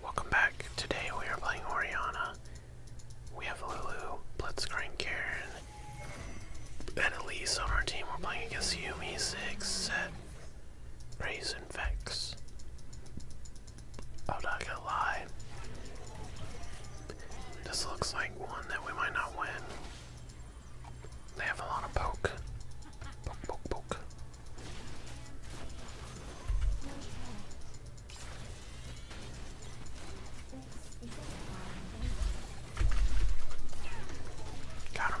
Welcome back. Today we are playing Oriana. We have Lulu, Blitzcrank, Karen, and Elise on our team. We're playing against Yumi, Six, Set, Raise, and Vex. I'm oh, not going This looks like one that we might not win. They have a lot of poke. Poke, poke, poke. Got him.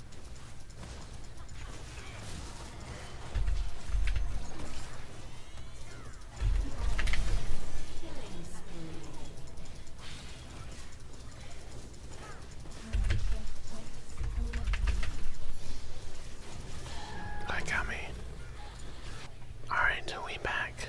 That got me. Alright, we back.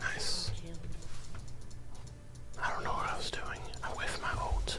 Nice. I don't know what I was doing. I with my ult.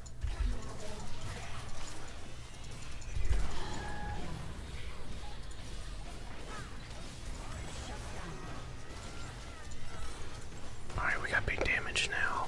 All right, we got big damage now.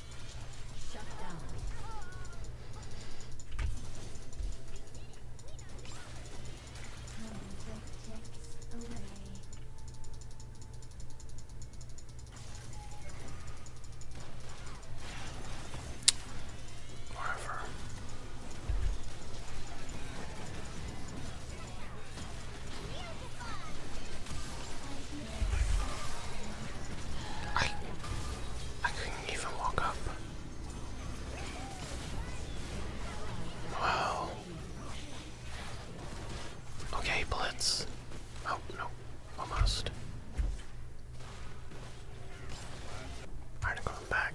Whatever. I I couldn't even walk up. Wow. Okay, blitz. Oh no, almost. Alright, I'm going back.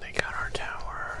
They got our tower.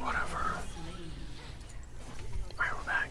Whatever. we're back.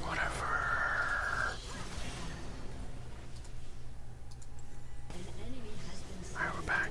Whatever. Alright, we're back.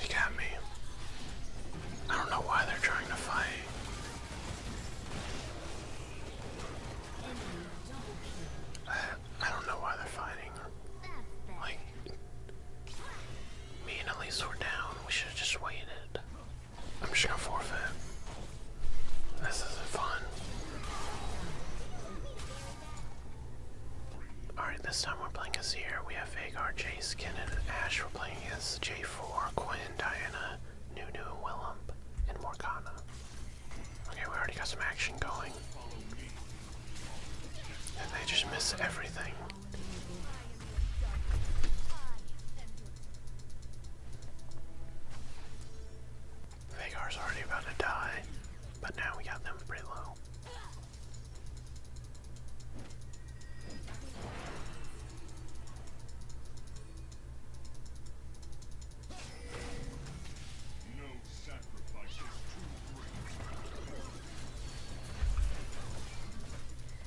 He got me. I don't know why they're trying to fight. I, I don't know why they're fighting. Like, me and Elise were down. We should have just waited. I'm just gonna forfeit. This isn't fun. Alright, this time we're playing as We have Vagar, Jay, Skin, Ash. We're playing as J4, Quinn, Diana, Nunu, Willump, and Morgana. Okay, we already got some action going. they just miss everything. Vagar's already about to die, but now we got them pretty low.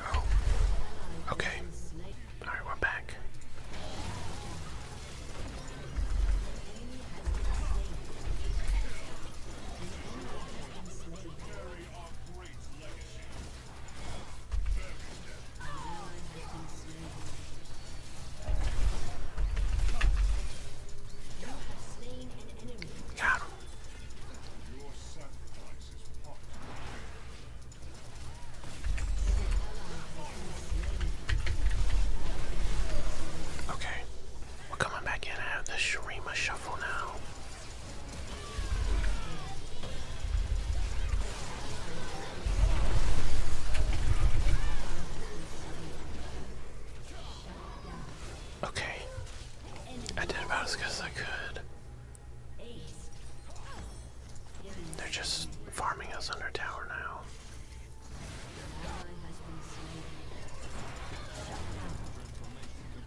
Oh. Okay. All right, we're back. Got Okay, we're coming back in. I have the Shurima shuffle now. Okay. I did about as good as I could. They're just farming us under tower now.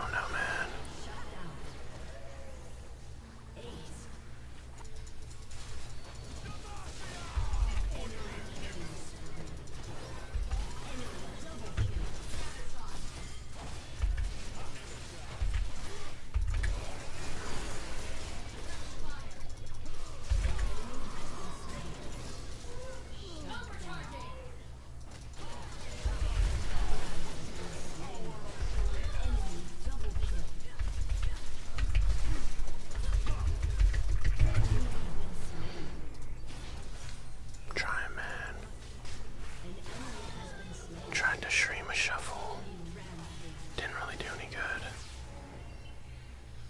Oh no, man. Try man. Tried to stream a shuffle. Didn't really do any good.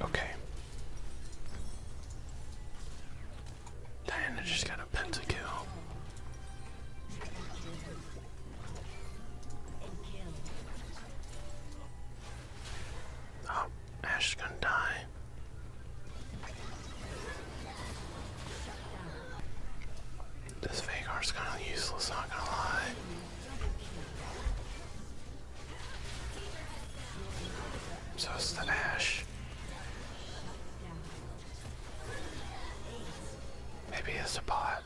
Okay. Diana just got a pentakill. Oh, Ash is gonna die. This Vagar's kind of useless, not gonna lie. So it's the dash. Maybe it's a pot.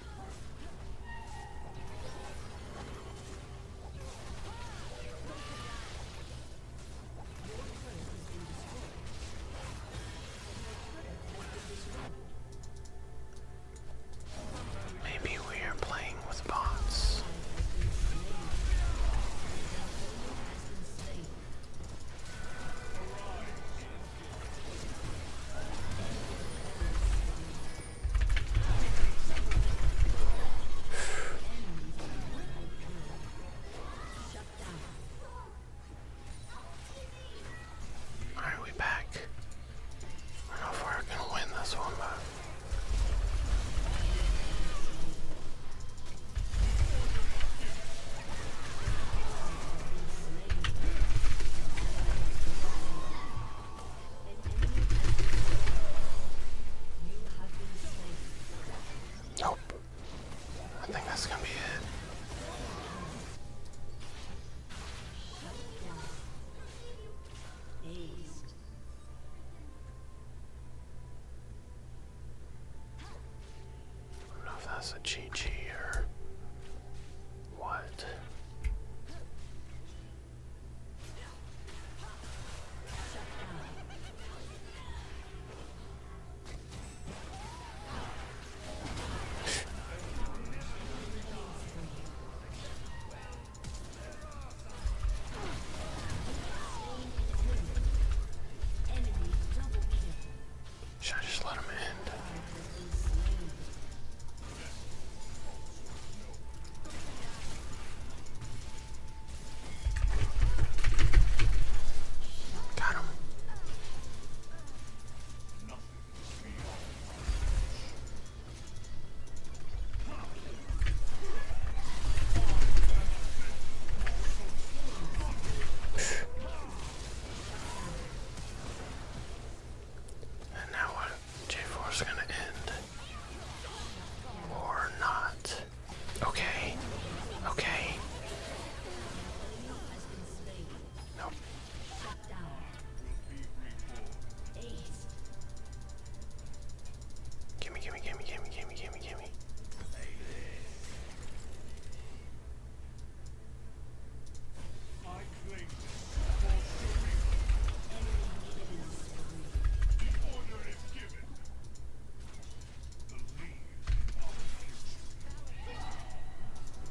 Maybe we are playing with bots. Alright, we back. I don't know if we're gonna win this one, but Nope. I think that's gonna be it. I don't know if that's a GG or what. Should I just let him in? Got him. And now what? J4 is going to end. Or not. Okay. Okay. Nope. Gimme, gimme, gimme, gimme, gimme, gimme, gimme.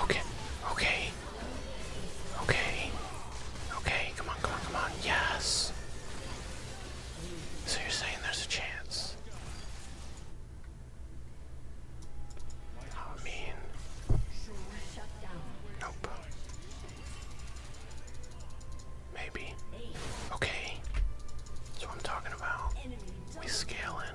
Okay, okay, okay, okay, come on, come on, come on, yes. So you're saying there's a chance? I mean, nope. Maybe. Okay. That's what I'm talking about. We scale in.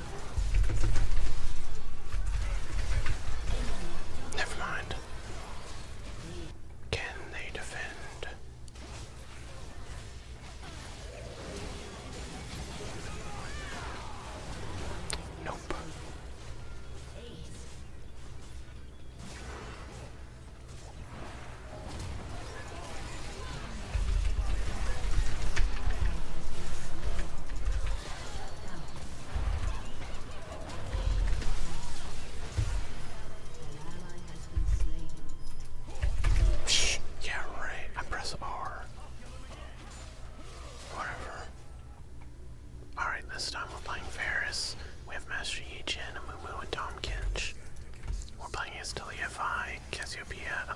Never mind. Can they defend? Nope yeah, right. I press R. Whatever. Alright, this time we're playing Ferris. We have Master Yi Jin, Amumu, and Tom We're playing as Deliofi, Cassiopeia,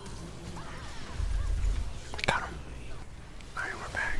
Got him. Alright, we're back.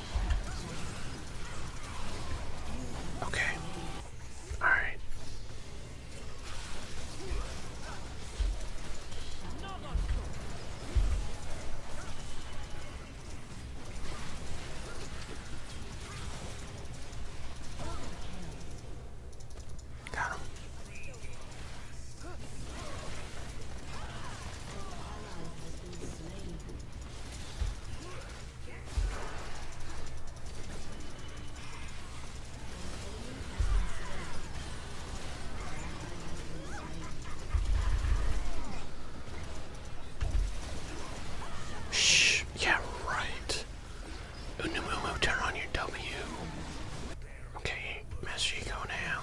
Okay. All right. Got him. Shh, yeah, right. Unamumu, turn on your W. Okay, Master Econam.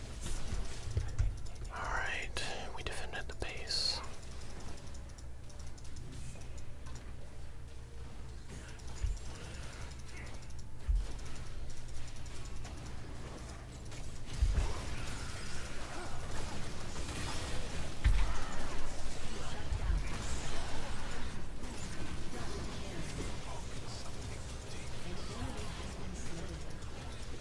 Alright, we defended the base.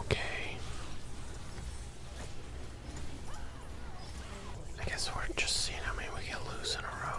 Okay. I guess we're just seeing how many we can lose a row.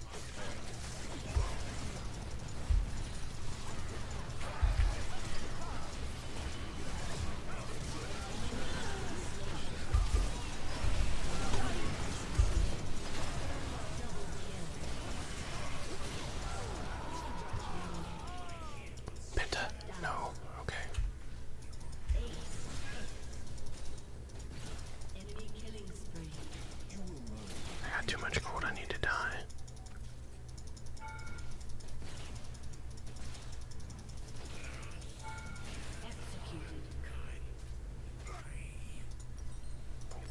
Penta? No. Okay. I got too much gold, I need to die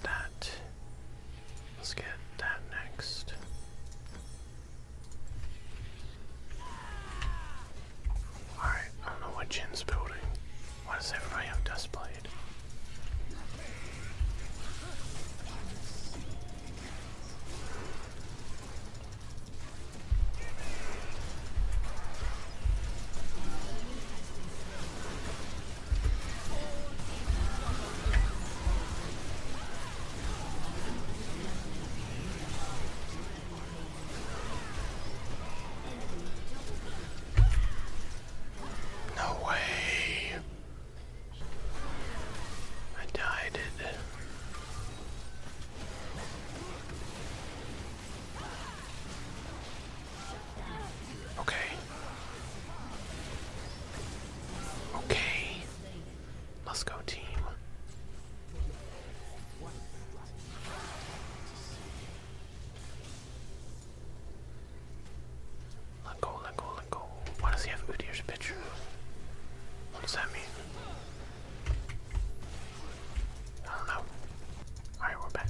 that. Let's get that next. Alright, I don't know what Jin's building. Why does everybody have dust plates? blade. No way. I died Okay. Okay. Let's go team. Let go, let go, let go. Why does he have Udir's picture? What does that mean? I don't know. Alright, we're back.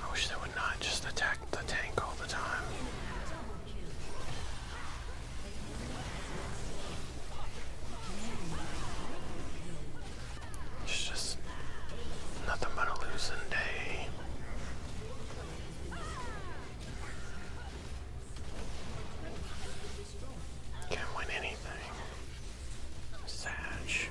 I wish they would not just attack the tank all the time. It's just nothing but a losing day. Can't win anything. Satch.